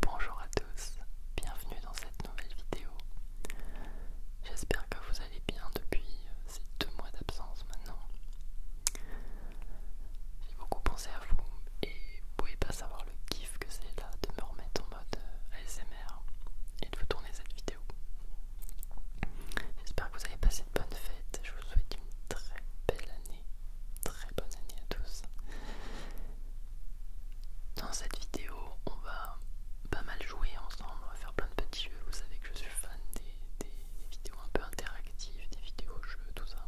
Bonjour à tous, bienvenue dans cette nouvelle vidéo. J'espère que vous allez bien depuis euh, ces deux mois d'absence maintenant. J'ai beaucoup pensé à vous et vous pouvez pas savoir le kiff que c'est là de me remettre en mode euh, ASMR et de vous tourner cette vidéo. J'espère que vous avez passé de bonnes fêtes, je vous souhaite une très belle année très bonne année à tous. Dans cette vidéo, on va pas mal jouer ensemble, on va faire plein de petits jeux. Vous savez que je suis fan des, vidéos un peu interactives, des vidéos jeux, tout ça.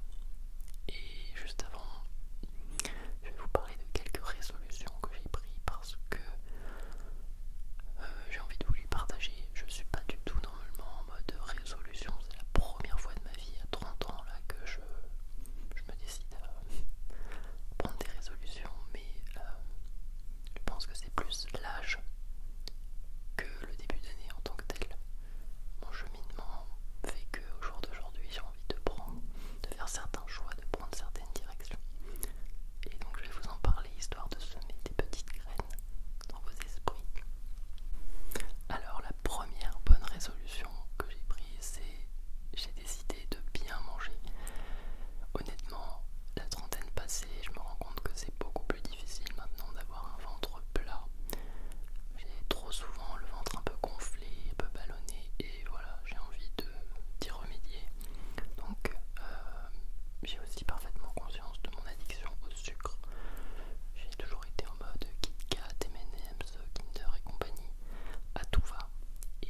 Et juste avant, je vais vous parler de quelques résolutions que j'ai pris parce que euh, j'ai envie de vous les partager. Je suis pas du tout normalement en mode résolution, c'est la première fois de ma vie à 30 ans là que je je me décide à prendre des résolutions, mais euh, je pense que c'est plus l'âge que le début d'année en tant que tel. Mon cheminement fait que au jour d'aujourd'hui, j'ai envie de prendre, de faire certains choix, de prendre certaines directions. Et donc je vais vous en parler histoire de semer des petites graines dans vos esprits. Alors la première bonne résolution que j'ai pris c'est j'ai décidé de bien manger. Honnêtement, la trentaine passée, je me rends compte que c'est beaucoup plus difficile maintenant d'avoir un ventre plat. J'ai trop souvent le ventre un peu gonflé, un peu ballonné, et voilà, j'ai envie d'y remédier. Donc, euh, j'ai aussi parfaitement conscience de mon addiction au sucre. J'ai toujours été en mode Kit Kat, Kinder et compagnie à tout va. Et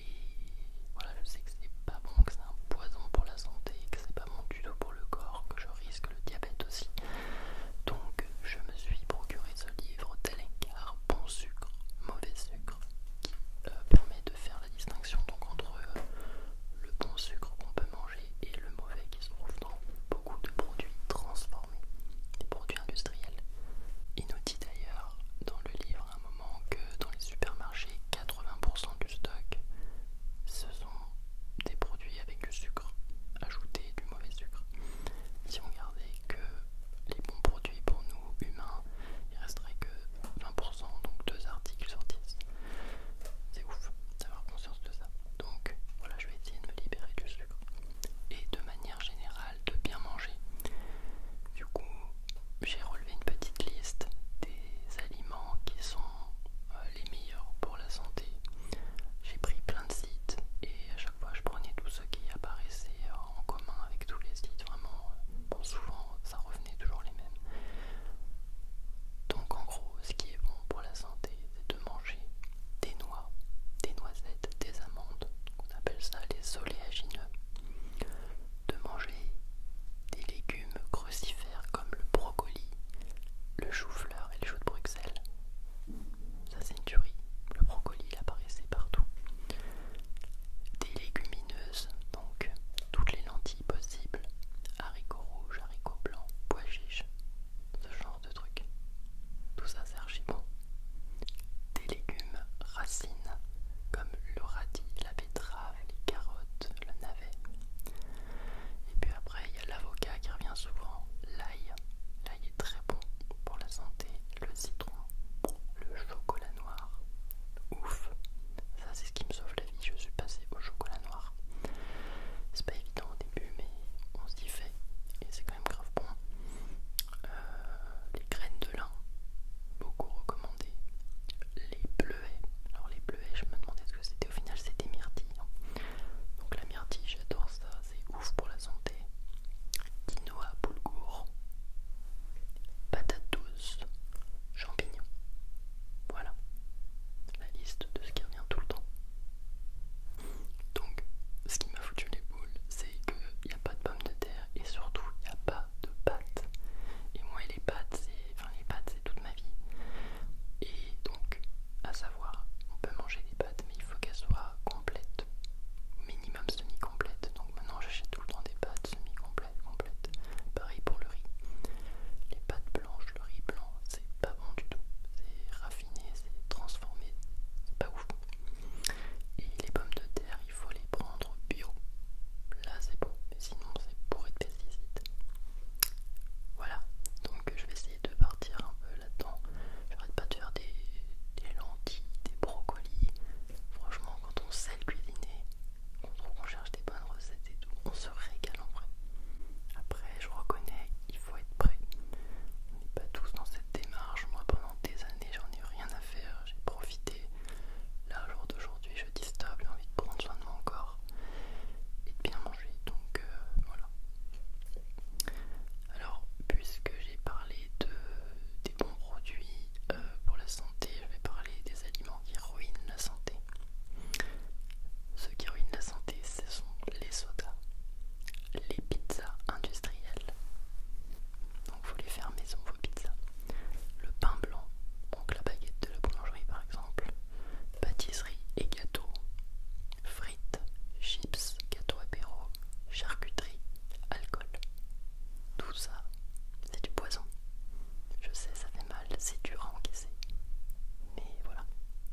voilà, je sais que c'est pas bon, que c'est un poison pour la santé, que c'est pas bon du tout pour le corps, que je risque le diabète aussi. Donc je me suis procuré ce livre tel Incar, bon sucre, mauvais sucre, qui euh, permet de faire la distinction donc entre euh, le bon sucre qu'on peut manger et le mauvais qui se trouve dans de produits transformés, des produits industriels. Il nous dit d'ailleurs dans le livre un moment que dans les supermarchés, 80% du stock, ce sont des produits avec du sucre, ajouté du mauvais sucre. Si on gardait que les bons produits pour nous humains, il resterait que 20%, donc deux articles sortissent. C'est ouf d'avoir conscience de ça. Donc voilà, je vais essayer de me libérer du sucre et de manière générale de bien manger. Du coup, j'ai relevé une petite liste des aliments qui sont euh, les meilleurs pour la santé. J'ai pris plein de sites et à chaque fois je prenais tout ce qui apparaissait en commun avec tous les sites. Vraiment, euh, souvent ça revenait toujours les mêmes. Donc en gros, ce qui est bon pour la santé, c'est de manger des noix, des noisettes, des amandes, qu'on appelle ça les oléagineux, de manger des légumes crucifères comme le brocoli, le chou-fleur et le chou de Bruxelles. Ça c'est une tuerie, le brocoli il apparaissait partout. Des légumineuses, donc toutes les lentilles possibles, haricots rouges, haricots blancs, pois chiches, ce genre de trucs. Tout ça c'est archi bon. Des légumes racines comme le radis, la betterave, les carottes, le navet. Et puis après il y a l'avocat qui revient souvent, l'ail. L'ail est très bon pour la santé, le citron, le chocolat noir. Ouf, ça c'est ce qui me sauve la vie, je suis passé au chocolat noir. C'est pas évident mais on s'y fait et c'est quand même grave bon. Euh, les graines de lin, beaucoup recommandées. Les bleuets, alors les bleuets, je me demandais ce que c'était, au final c'était myrtille hein. Donc la myrtille, j'adore ça, c'est ouf pour la santé. Quinoa, boulgour, patates douces, champignons. Voilà la liste de ce qui revient tout le temps. Donc, ce qui m'a foutu les boules, c'est qu'il n'y a pas de pommes de terre et surtout il n'y a pas de pâtes. Et moi, les pâtes, c'est toute ma vie. Et donc, à savoir, on peut manger des pâtes, mais il faut qu'elles soient complètes, minimum semi-complètes. Donc, maintenant, j'achète tout le temps des pâtes semi-complètes, complètes. Pareil pour le riz. Les pâtes blanches, le riz blanc, c'est pas bon du tout. C'est raffiné, c'est transformé, c'est pas ouf. Et les pommes de terre, il faut les prendre bio. Là c'est bon, sinon c'est bourré de pesticides. Voilà, donc je vais essayer de partir un peu là-dedans. J'arrête pas de faire des, des lentilles, des brocolis. Franchement, quand on sait le cuisiner, on trouve qu'on cherche des bonnes recettes et tout, on se régale en vrai. Après, je reconnais, il faut être prêt. On n'est pas tous dans cette démarche. Moi, pendant des années, j'en ai rien à faire. J'ai profité. Là, jour d'aujourd'hui, je dis stop. J'ai envie de prendre soin de mon corps et de bien manger. Donc, euh, voilà. Alors, puisque j'ai parlé de, des bons produits euh, pour la santé, je vais parler des aliments qui ruinent la santé. Ceux qui ruinent la santé, ce sont les sodas les pizzas industrielles. Donc vous les faire maison vos pizzas. Le pain blanc, donc la baguette de la boulangerie par exemple. Pâtisserie et gâteaux. Frites, chips, gâteaux apéro, charcuterie, alcool. Tout ça, c'est du poison. Je sais, ça fait mal, c'est dur à encaisser. Mais voilà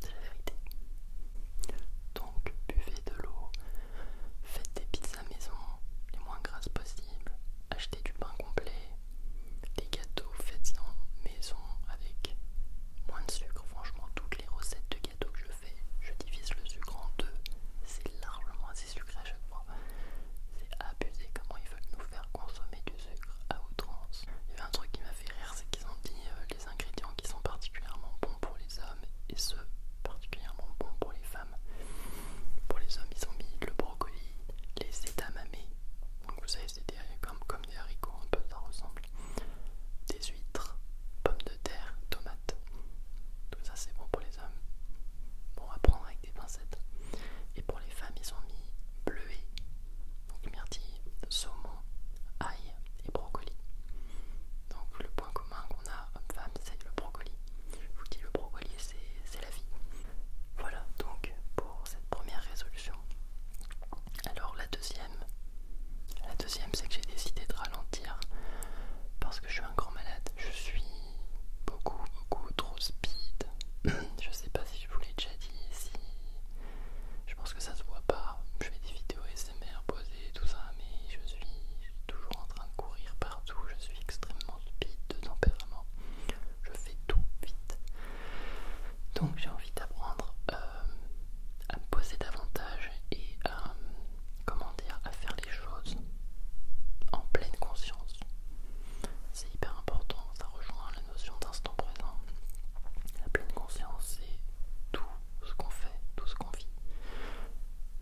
c'est la vérité. Donc buvez de l'eau, faites des pizzas maison les moins grasses possible achetez du pain complet, des gâteaux faites-en maison avec moins de sucre. Franchement, toutes les recettes de gâteaux que je fais, je divise le sucre en deux, c'est largement assez sucré à chaque fois. C'est abusé comment ils veulent nous faire consommer du sucre à outrance. Il y avait un truc qui m'a fait rire, c'est qu'ils ont dit euh, des ingrédients qui sont particulièrement bons pour les hommes et ceux particulièrement bons pour les femmes. Pour les hommes, ils ont mis le brocoli, les edamame, donc vous savez, c'est comme, comme des haricots, un peu ça ressemble, des huîtres, pommes de terre, tomates. Tout ça, c'est bon pour les hommes. Bon, va prendre avec des pincettes. Et pour les femmes, ils ont mis bleuet, donc myrtille, saumon, ail, et brocoli. Donc le point commun qu'on a homme-femme c'est le brocoli. Je vous dis le brocoli c'est la vie. Voilà donc pour cette première résolution. Alors la deuxième, la deuxième c'est que j'ai décidé de ralentir parce que je suis un grand malade. Je suis beaucoup beaucoup trop speed. je sais pas si je vous l'ai déjà dit, si je pense que ça se voit pas. Je fais des vidéos SMR posées, tout ça, mais je suis toujours en train de courir partout. Je suis extrêmement stupide de tempérament. Je fais tout vite. Donc j'ai envie d'apprendre euh, à me poser davantage et comment dire, à faire les choses en pleine conscience. C'est hyper important, ça rejoint la notion d'instant présent. La pleine conscience, c'est tout tout ce qu'on fait, tout ce qu'on vit.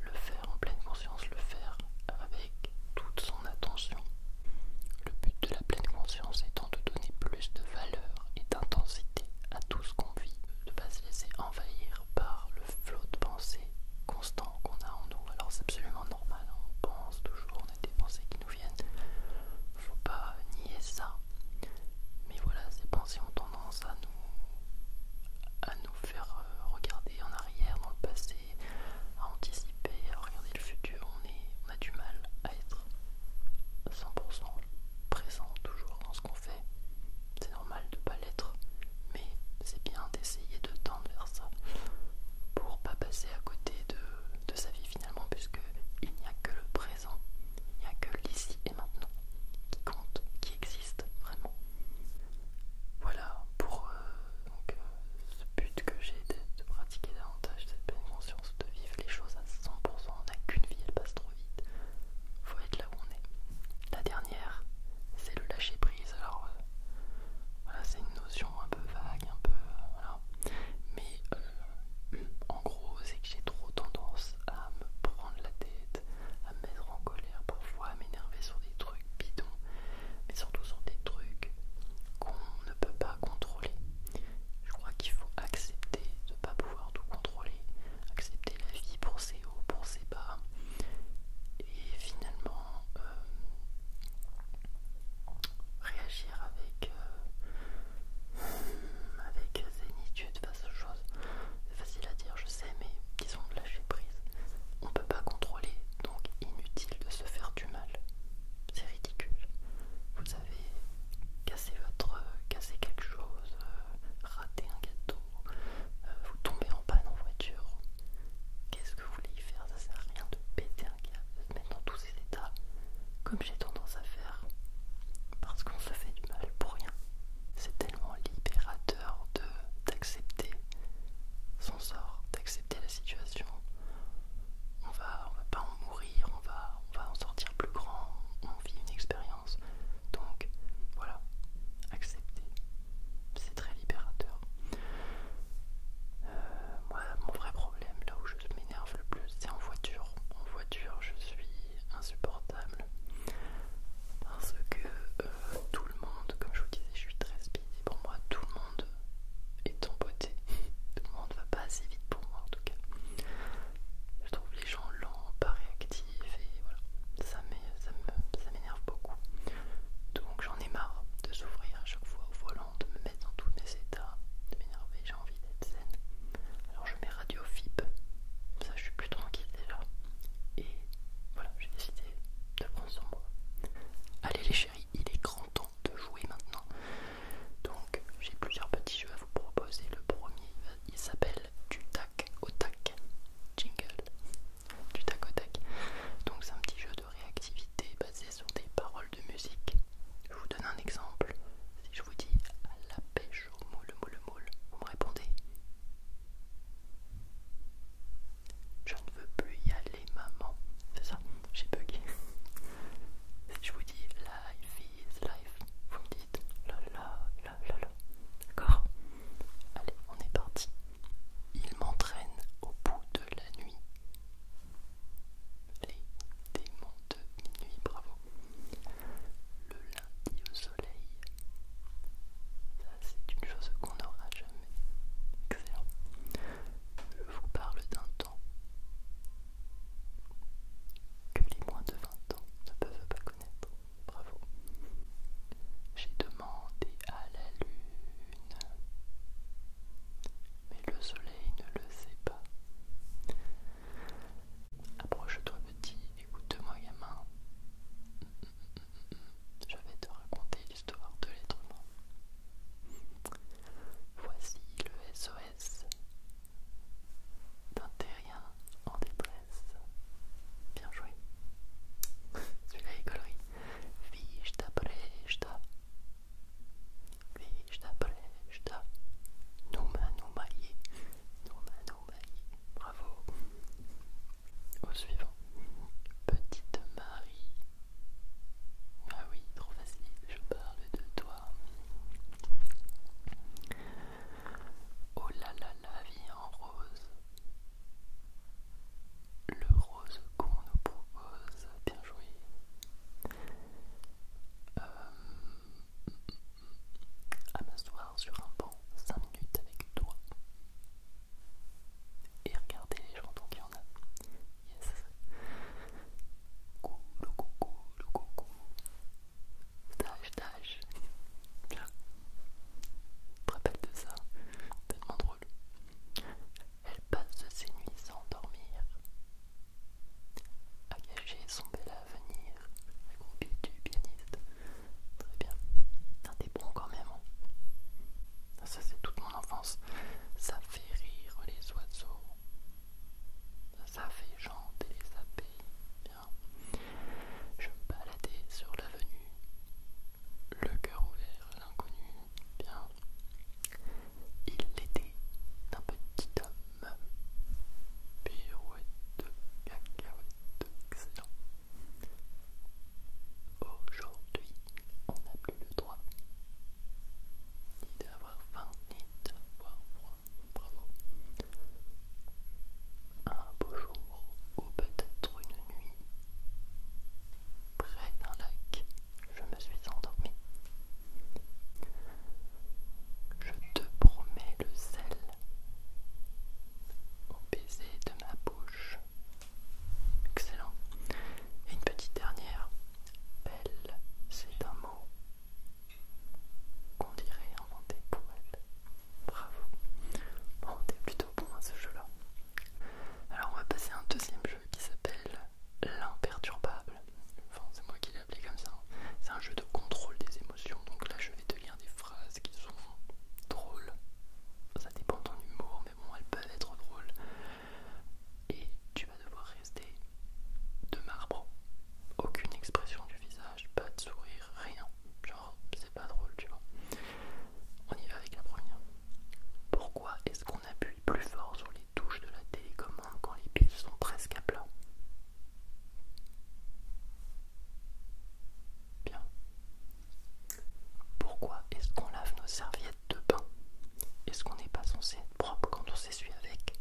Le faire en pleine conscience, le faire avec toute son attention. Le but de la pleine conscience étant de donner plus de valeur et d'intensité à tout ce qu'on vit, de ne pas se laisser envahir par le flot de pensées constant qu'on a en nous. Alors c'est absolument normal, hein. on pense toujours, on a des pensées qui nous viennent. Faut pas nier ça. Mais voilà, ces pensées ont tendance à nous, à nous faire euh, regarder en arrière, dans le passé, à anticiper, à regarder le futur. On, est, on a du mal à être 100% présent toujours dans ce qu'on fait. C'est normal de ne pas l'être, mais c'est bien d'essayer de tendre vers ça pour pas passer à côté de, sa vie finalement, puisque il n'y a que le présent il n'y a que l'ici et maintenant qui compte, qui existe vraiment. Voilà pour euh, euh, ce but que j'ai de, pratiquer davantage cette pleine conscience, de vivre les choses à 100%. On n'a qu'une vie, elle passe trop vite. Faut être là où on est. La dernière, c'est le lâcher prise. Alors euh, voilà, c'est une notion un peu vague, un peu mais en gros, c'est que j'ai trop tendance à me prendre la tête, à me mettre en colère parfois, à m'énerver sur des trucs bidons, mais surtout sur des trucs qu'on ne peut pas contrôler. Je crois qu'il faut accepter de ne pas pouvoir tout contrôler, accepter la vie pour ses hauts, pour ses bas, et finalement euh, réagir avec, euh, Hmm, avec zénitude face aux choses. C'est facile à dire, je sais, mais disons de lâcher prise. On peut pas contrôler, donc inutile de se faire du mal. C'est ridicule. Vous avez cassé votre, cassé quelque chose, euh, raté un gâteau, euh, vous tombez en panne en voiture. Qu'est-ce que vous voulez y faire Ça sert à rien de péter un gâteau. de se mettre dans tous ces états comme j'ai tendance à faire, parce qu'on se fait du mal pour rien. C'est tellement libérateur d'accepter son sort, d'accepter la situation. On va, on va pas en mourir, on va, on va en sortir plus grand, on vit une expérience. Donc voilà, accepter, c'est très libérateur. Euh, moi, mon vrai problème, là où je m'énerve le plus, c'est en voiture. En voiture, je suis insupportable parce que euh, tout le monde, comme je vous disais, je suis très speedy pour moi tout le monde est beauté, tout le monde va pas assez vite pour moi en tout cas. Je trouve les gens lents, pas réactifs et voilà, ça m'énerve beaucoup. Donc j'en ai marre de s'ouvrir à chaque fois au volant, de me mettre dans tous mes états, de m'énerver, j'ai envie d'être zen. Alors je mets Radio FIP, Ça, je suis plus tranquille déjà. Et voilà, j'ai décidé de prendre sur moi. Allez les chéris, il est grand temps de jouer maintenant. Donc, j'ai plusieurs petits jeux à vous proposer. Le premier, il s'appelle Du tac au tac. Jingle. Du tac au tac. Donc, c'est un petit jeu de réactivité basé sur des paroles de musique. Je vous donne un exemple. Si je vous dis à la pêche je moule, moule, moule, vous me répondez Je ne veux plus y aller, maman. C'est ça, j'ai bugué. Je vous dis life is life. Vous me dites D'accord Allez, on est parti. Il m'entraîne au bout de la nuit. Les démons de minuit, bravo. Le lundi au soleil, ça c'est une chose qu'on n'aura jamais. Excellent. Je vous parle d'un temps que les moins de 20 ans ne peuvent pas connaître. Bravo. J'ai demandé à la lune, mais le soleil ne le sait pas. Approche-toi petit, écoute-moi gamin. Je vais te raconter l'histoire de l'être humain. Voici le SOS d'un en détresse. Bien joué. Celui-là est collerie. Vista presta. Vista Nouma, nous yé bravo. Au suivant, Petite Marie. Ah oui, trop facile, je parle de toi. Oh là là, la vie en rose. Le rose qu'on nous propose, bien joué. Euh, à m'asseoir sur un banc 5 minutes avec toi et regarder les gens, donc il y en a. Yes! Coucou, le coucou, le coucou. Stage, stage. Là. Je te rappelle de ça, tellement drôle. Elle passe ses nuits sans dormir à son bel avenir, la du pianiste. Très bien. t'es bon quand même. Hein. ça, c'est toute mon enfance. Ça fait rire les oiseaux. Ça fait chanter les abeilles. Bien. Je me baladais sur l'avenue, le cœur ouvert à l'inconnu. Bien. Il l'était un d'un petit homme. Pirouette, cacahuète, excellent. Aujourd'hui, on n'a plus le droit ni d'avoir faim ni d'avoir froid. Bravo. Un beau jour ou peut-être une nuit, près d'un lac, je me suis endormi je te promets le sel au baiser de ma bouche. Excellent. Et une petite dernière. Belle, c'est un mot qu'on dirait inventé pour elle. Bravo. Bon, t'es plutôt bon à ce jeu-là. Alors on va passer à un deuxième jeu qui s'appelle l'imperturbable. Enfin, c'est moi qui Hein. C'est un jeu de contrôle des émotions. Donc là, je vais te lire des phrases qui sont drôles. Ça dépend de ton humour, mais bon, elles peuvent être drôles. Et tu vas devoir rester de marbre. Aucune expression du visage, pas de sourire, rien. Genre, c'est pas drôle, tu vois. On y va avec la première. Pourquoi est-ce qu'on appuie plus fort sur les touches de la télécommande quand les piles sont presque à plat Bien. Pourquoi est-ce qu'on lave nos serviettes de bain Est-ce qu'on n'est pas censé être propre quand on s'essuie avec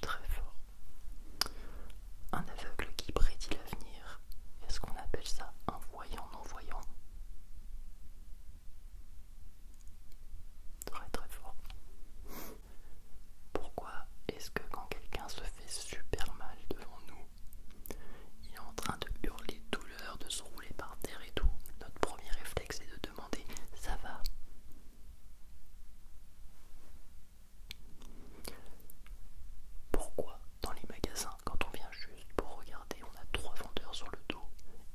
Très fort. Un aveugle qui prédit l'avenir, est-ce qu'on appelle ça un voyant non-voyant Très très fort. Pourquoi est-ce que quand quelqu'un se fait super mal devant nous, il est en train de hurler de douleur, de se rouler par terre et tout, notre premier réflexe est de demander ça va pourquoi dans les magasins, quand on vient juste pour regarder, on a trois vendeurs sur le dos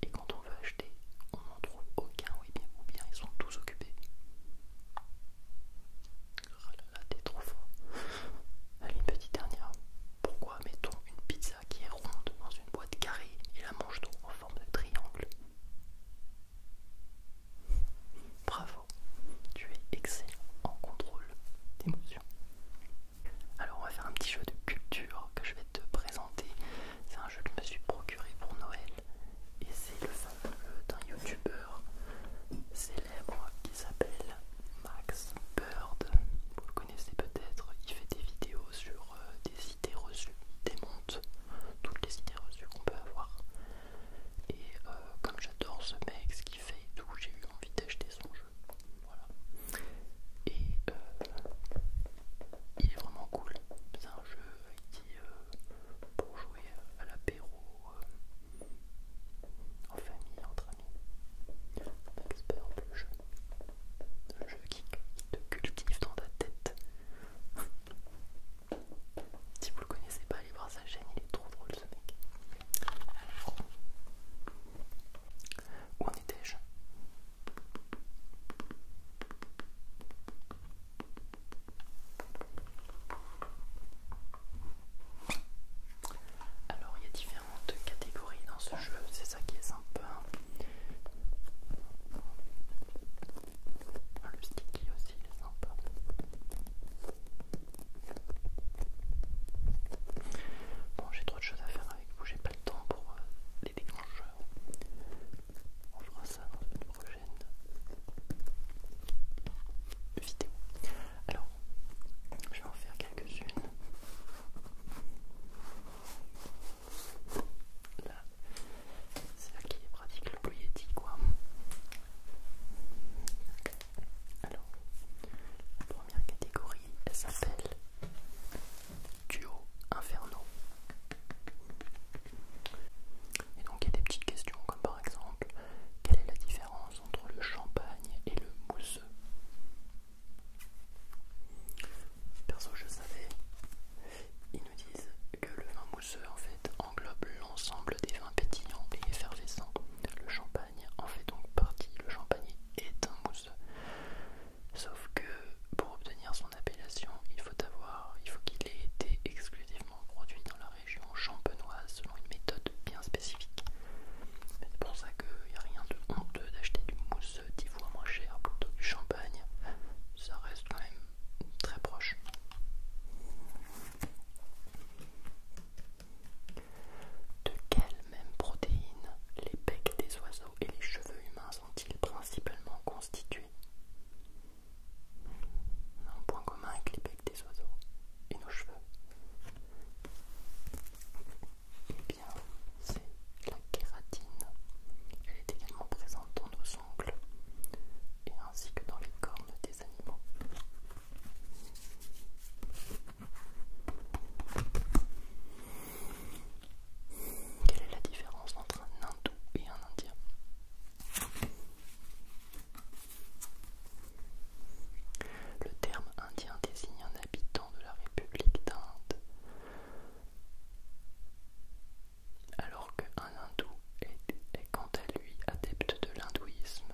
et quand on on veut acheter, on n'en trouve aucun ou bien, bien ils sont tous occupés. Ah là t'es trop fort. Allez, une petite dernière. Pourquoi mettons une pizza qui est ronde dans une boîte carrée et la mange-t-on en forme de triangle Bravo, tu es excellent en contrôle d'émotions. Alors on va faire un petit jeu de culture que je vais te présenter c'est un jeu que je me suis procuré pour Noël et c'est le fameux d'un youtubeur célèbre qui s'appelle Max Bird. Vous le connaissez peut-être, il fait des vidéos sur euh, des idées reçues, démonte toutes les idées reçues qu'on peut avoir. Et euh, comme j'adore ce mec, ce qu'il fait et tout, j'ai eu envie d'acheter son jeu. Voilà. Et euh, il est vraiment cool. C'est un jeu euh, qui, euh, pour jouer à l'apéro, en famille, entre amis, expert le jeu. Le jeu qui te cultive dans ta tête. si vous le connaissez pas, allez voir sa chaîne, il est trop drôle ce mec. où en étais-je alors il y a différentes catégories dans ce jeu, c'est ça qui est sympa. Ah, le sticky aussi est sympa. Bon j'ai trop de choses à faire que vous, j'ai pas le temps pour euh, les déclencheurs. On fera ça dans une prochaine vidéo. Alors, je vais en faire quelques-unes. Là, c'est là qui est pratique le Yeti, quoi. Alors, la première catégorie, elle s'appelle duo Inferno. Et donc il y a des petites questions comme par exemple quelle est la différence entre le champagne et le mousseux Perso je savais, ils nous disent que le vin mousseux en fait englobe l'ensemble des vins pétillants et effervescents. Le champagne en fait donc partie, le champagne est un mousseux. Sauf que pour obtenir son appellation, il faut avoir, il faut qu'il ait été exclusivement produit dans la région champenoise selon une méthode bien spécifique. C'est pour ça qu'il n'y a rien de honteux d'acheter du mousse 10 fois moins cher plutôt que du champagne. Ça reste quand même très proche. De quelle même protéines, les becs des oiseaux et les cheveux humains sont-ils principalement constitués Un point commun avec les becs des oiseaux et nos cheveux. Eh bien, c'est la kératine. Elle est également présente dans nos ongles et ainsi que dans les cornes des animaux. Quelle est la différence entre un hindou et un indien Le terme indien désigne un habitant de la République d'Inde, alors qu'un hindou est, quant à lui adepte de l'hindouisme,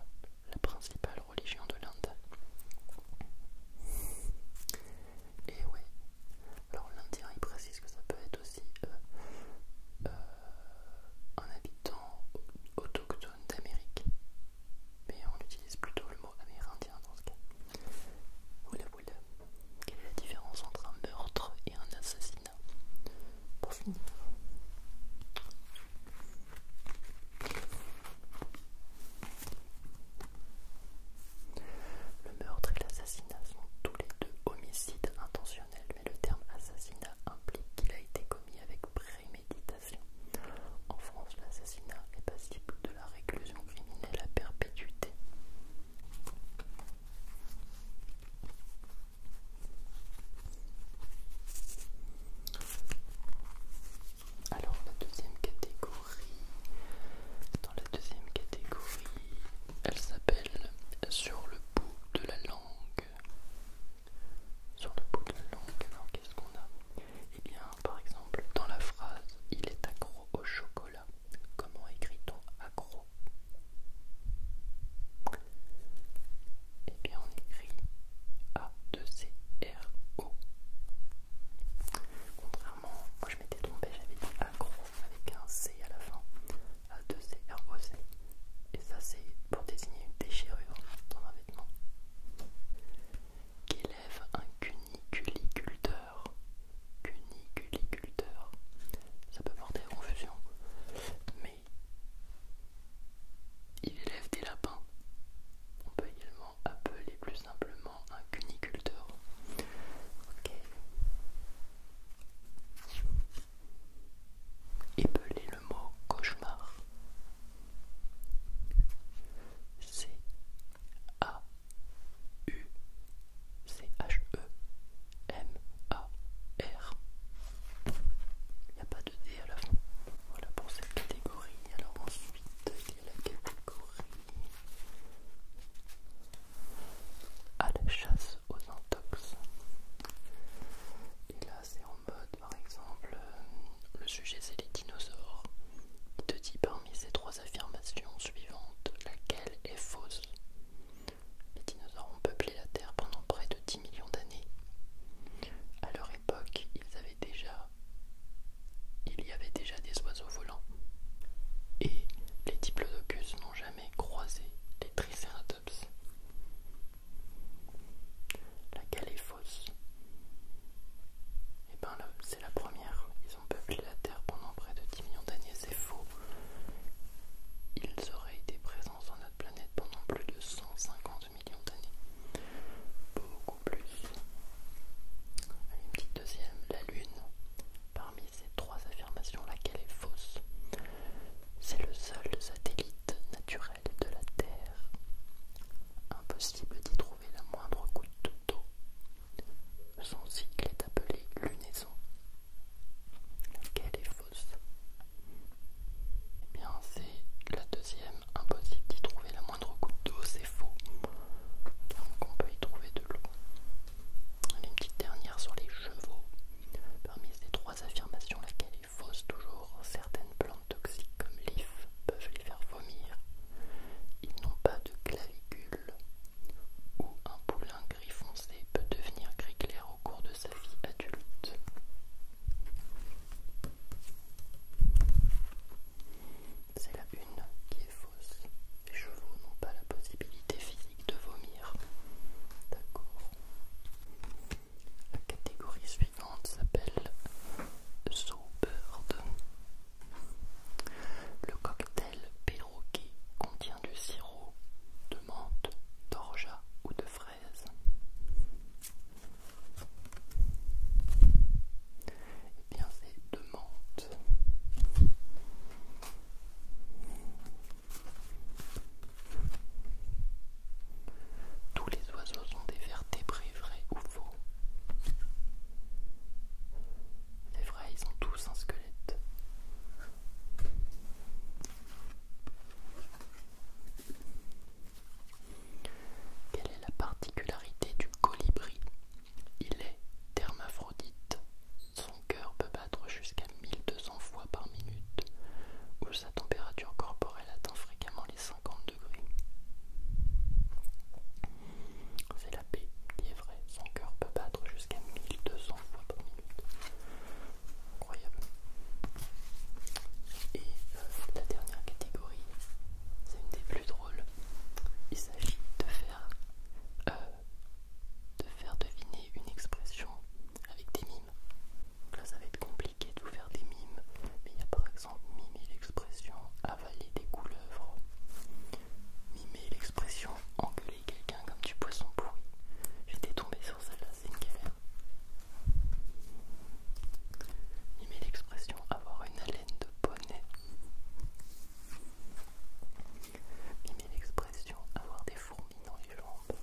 la principale religion de l'Inde. Et ouais, alors l'Indien il précise que ça peut être aussi euh, euh, un habitant autochtone d'Amérique, mais on utilise plutôt le mot amérindien dans ce cas. Voilà, oula, Quelle est la différence entre un meurtre et un assassinat Pour finir. Le meurtre et l'assassinat sont tous les deux homicides intentionnels, mais le terme assassinat implique qu'il a été commis avec préméditation. En France, l'assassinat est passible de la réclusion criminelle à perpétuité. Alors la deuxième catégorie, dans la deuxième catégorie, elle s'appelle sur le bout de la langue. Sur le bout de la langue, alors qu'est-ce qu'on a Eh bien, par exemple, dans la phrase il est accro au chocolat, comment écrit-on accro Eh bien, on écrit a 2 O. Contrairement moi je m'étais tombé, j'avais dit accro avec un C à la fin, 2 C. et ça c'est pour désigner une déchirure dans un vêtement. Qui élève un cuniculiculteur. Cuniculiculteur, ça peut porter confusion, mais il élève des lapins. On peut également Appeler plus simplement un cuniculteur. Ok. Épeler le mot cauchemar. C A U C H E M A R. Il n'y a pas de D à la fin. Voilà pour cette catégorie. Alors ensuite, il y a la catégorie à la chasse aux antoxes. Et là, c'est en mode, par exemple, euh, le sujet c'est les dinosaures. Il te dit parmi ces trois affirmations suivantes, laquelle est fausse Les dinosaures ont peuplé la Terre pendant près de 10 millions d'années. À leur époque, ils avaient déjà il y avait déjà des oiseaux volants. Et les diplodocus n'ont jamais croisé les tricératops. La est fausse. Et ben là, c'est la première. Ils ont peuplé la Terre pendant près de 10 millions d'années, c'est faux. Ils auraient été présents sur notre planète pendant plus de 150 millions d'années. Beaucoup plus. une petite deuxième, la lune. Parmi ces trois affirmations, laquelle est fausse C'est le seul satellite naturel de la Terre. Impossible d'y trouver la moindre goutte d'eau. Son cycle est appelé lunaison. Laquelle est fausse Eh bien, c'est la deuxième. Impossible d'y trouver la moindre goutte d'eau, c'est faux. Donc on peut y trouver de l'eau. Une petite dernière sur les chevaux. Parmi ces trois affirmations, laquelle est fausse toujours, certaines plantes toxiques comme l'if peuvent les faire vomir. Ils n'ont pas de clavicule. Ou un poulain gris foncé peut devenir gris clair au cours de sa vie adulte c'est la une qui est fausse. Les chevaux n'ont pas la possibilité physique de vomir. D'accord. La catégorie suivante s'appelle Bird ». Le cocktail perroquet contient du sirop de menthe, d'orgeat ou de fraise bien c'est de menthe. Tous les oiseaux ont des vertébrés, vrais ou faux Les vrais, ils ont tous un squelette. Quelle est la particularité du colibri il est thermaphrodite, Son cœur peut battre jusqu'à 1200 fois par minute, où sa température corporelle atteint fréquemment les 50 degrés. C'est la paix qui est vraie. Son cœur peut battre jusqu'à 1200 fois par minute. Incroyable. Et euh, la dernière catégorie, c'est une des plus drôles. Il s'agit de faire, euh, de faire deviner une expression avec des mimes. Donc là, ça va être compliqué de vous faire des mimes, mais il y a par exemple mimer l'expression avaler des couleuvres, mimer l'expression engueuler quelqu'un comme du poisson pourri. J'étais tombé sur celle-là, c'est une galère. Mimer l'expression avoir une haleine de bonnet met l'expression avoir des fourmis dans les jambes.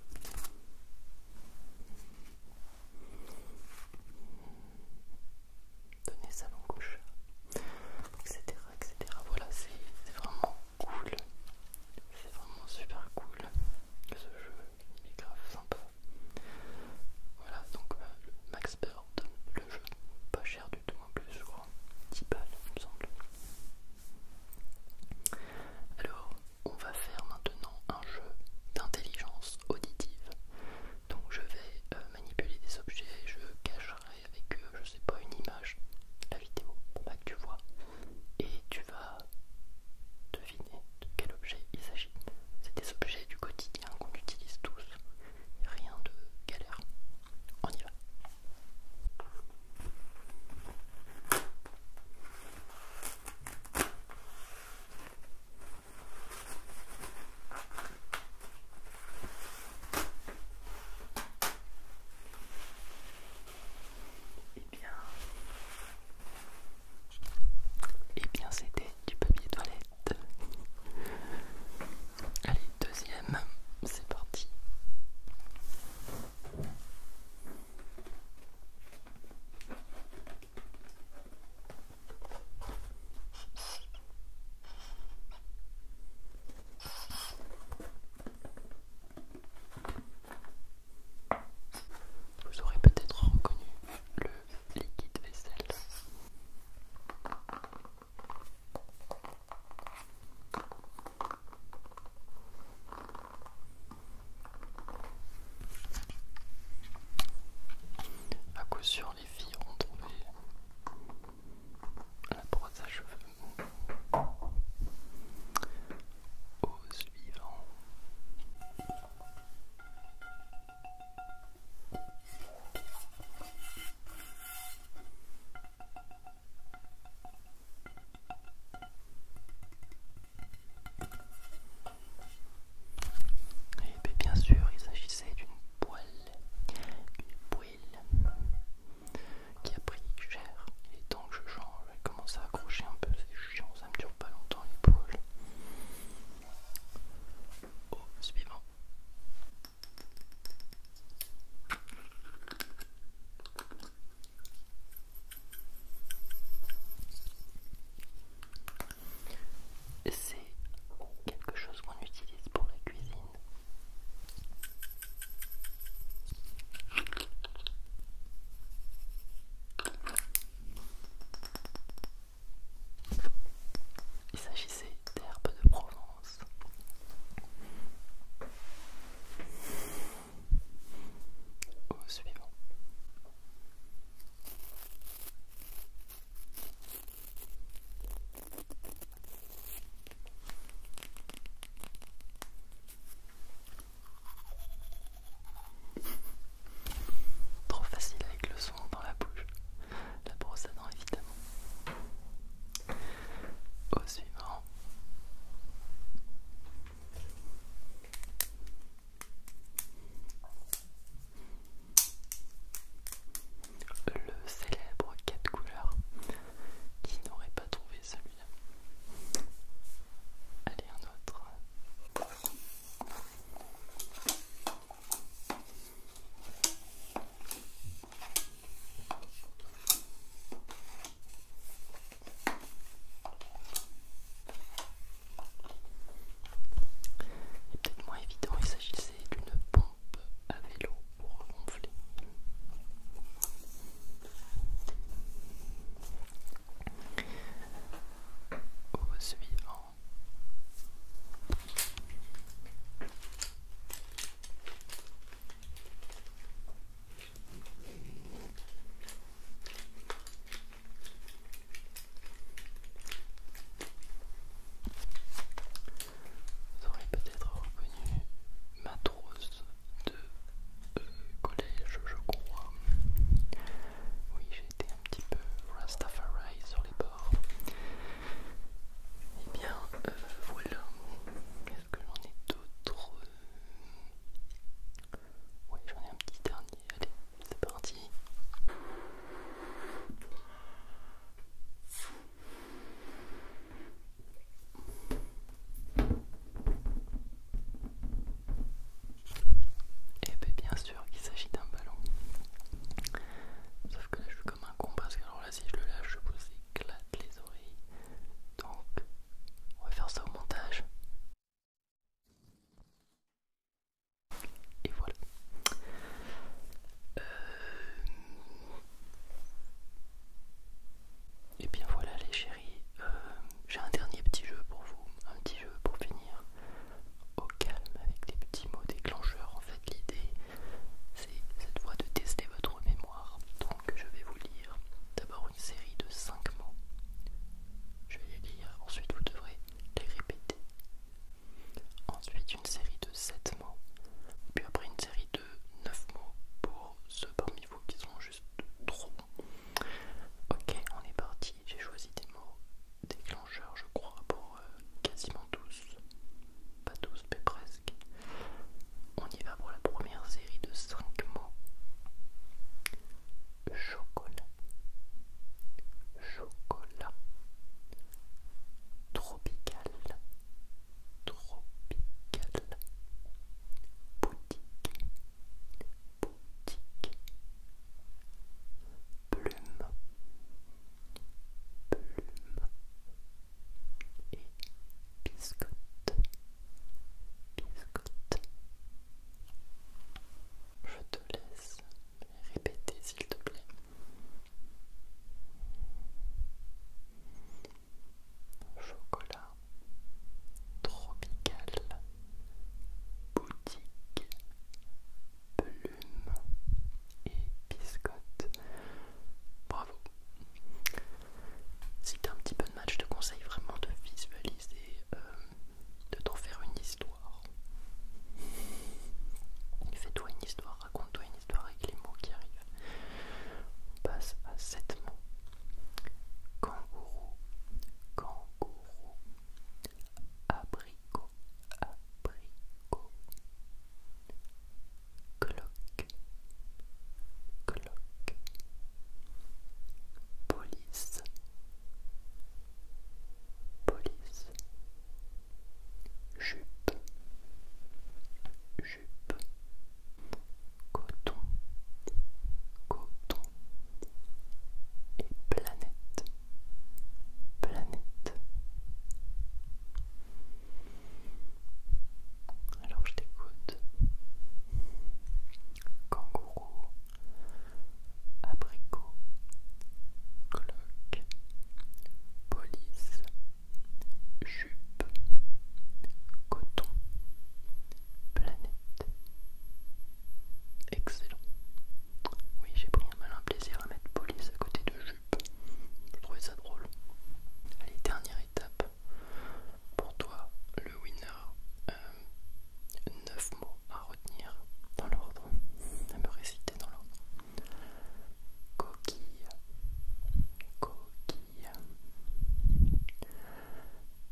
Donner sa langue au etc. etc. Voilà, c'est vraiment cool. C'est vraiment super cool ce jeu, il est grave sympa. Voilà, donc euh, Max le jeu. Pas cher du tout en plus, je crois. 10 balles, me semble. Alors, on va faire maintenant un jeu d'intelligence auditive. Donc, je vais euh, manipuler des objets, je cacherai avec je sais pas, une image, la vidéo, pour pas que tu vois, et tu vas deviner de quel objet il s'agit. C'est des objets du quotidien qu'on utilise tous rien de galère. On y va. Eh bien, Et eh bien c'était du papier toilette. Allez, deuxième, c'est parti. Vous aurez peut-être reconnu le liquide vaisselle. À coup sûr, les filles ont trouvé la brosse à cheveux. Au suivant. Et eh ben, bien sûr, il s'agissait d'une poêle, une poêle qui a pris cher. Il est temps que je change vais commence à accrocher un peu, c'est chiant, ça ne dure pas longtemps les poêles. Oh, suivant. C'est quelque chose qu'on utilise pour la cuisine. Il s'agissait d'herbes de Provence. Au suivant. Trop facile avec le son dans la bouche la brosse à dents évidemment. Au suivant. Le célèbre 4 couleurs. Qui n'aurait pas trouvé celui-là Allez, un autre. Et peut-être moins évident, il s'agissait d'une pompe à vélo pour gonfler. suivant. Vous aurez peut-être reconnu matrose de euh, collège, je crois. Oui, j'ai été un petit peu Rastafari sur les bords eh Et bien euh, voilà. quest ce que j'en ai d'autres Oui, j'en ai un petit dernier. Allez, c'est parti. Et eh ben, bien, bien qu'il s'agit d'un ballon. Sauf que là je suis comme un con parce que alors là si je le lâche je vous éclate les oreilles. Donc on va faire ça au montage. Et voilà. Euh, et bien voilà les chéris, euh, j'ai un dernier petit jeu pour vous, un petit jeu pour finir au calme avec des petits mots déclencheurs. En fait, l'idée, c'est cette fois de tester votre mémoire. Donc, je vais vous lire d'abord une série de 5 mots. Je vais les lire, ensuite vous devrez les répéter. Ensuite, une série de 7 mots. Puis après, une série de 9 mots pour ceux parmi vous qui sont juste trop Ok, on est parti. J'ai choisi des mots déclencheurs je crois, pour euh, quasiment tous. Pas tous, mais presque. On y va pour la première série de 5 mots. Chocolat. Chocolat. Tropical. Tropical. Boutique. Boutique. Plume plume et biscotte, biscotte. Je te laisse répéter s'il te plaît. Chocolat tropical boutique plume et biscotte. Bravo. Si t'as un petit peu de match, je te conseille vraiment de visualiser, euh, de t'en faire une histoire. Fais-toi une histoire, raconte-toi une histoire avec les mots qui arrivent. On passe à sept mots. Kangourou, kangourou, abricot, abricot, cloque, cloque, police, police, jupe, jupe, coton, coton et planète planète. Alors je t'écoute. Kangourou, abricot, cloque, police, jupe, coton, planète excellent. Oui, j'ai pris un malin plaisir à mettre police à côté de jupe. Je trouvais ça drôle. Allez, dernière étape. Pour toi, le winner. Euh, neuf mots à retenir dans l'ordre, à me réciter dans l'ordre. Coquille, coquille,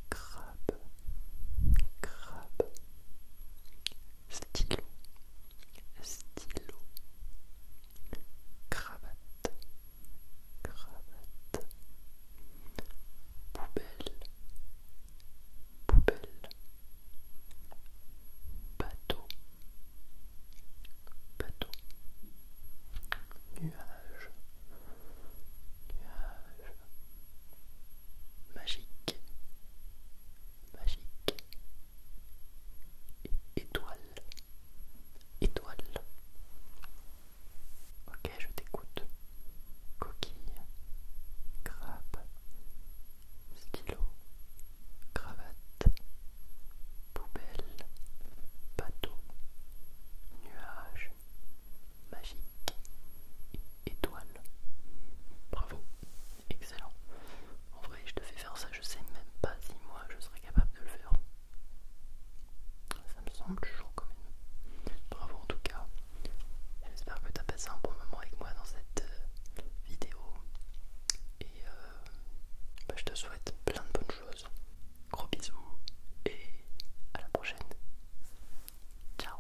crabe, crabe, stylo, stylo, cravate, cravate, poubelle, poubelle, bateau, bateau, nuage, nuage, magique, magique étoile. Étoile. Ok, je t'écoute. Coquille, grappe, stylo, cravate, poubelle, bateau, nuage, magique, étoile. Bravo, excellent. En vrai, je te fais faire ça, je sais même pas si moi je serais capable de le faire. Ça me semble toujours comme. même. Bravo en tout cas. J'espère que tu as passé un bon moment avec moi dans cette euh, vidéo. Et euh, bah, je te souhaite plein de bonnes choses. Gros bisous et à la prochaine. Ciao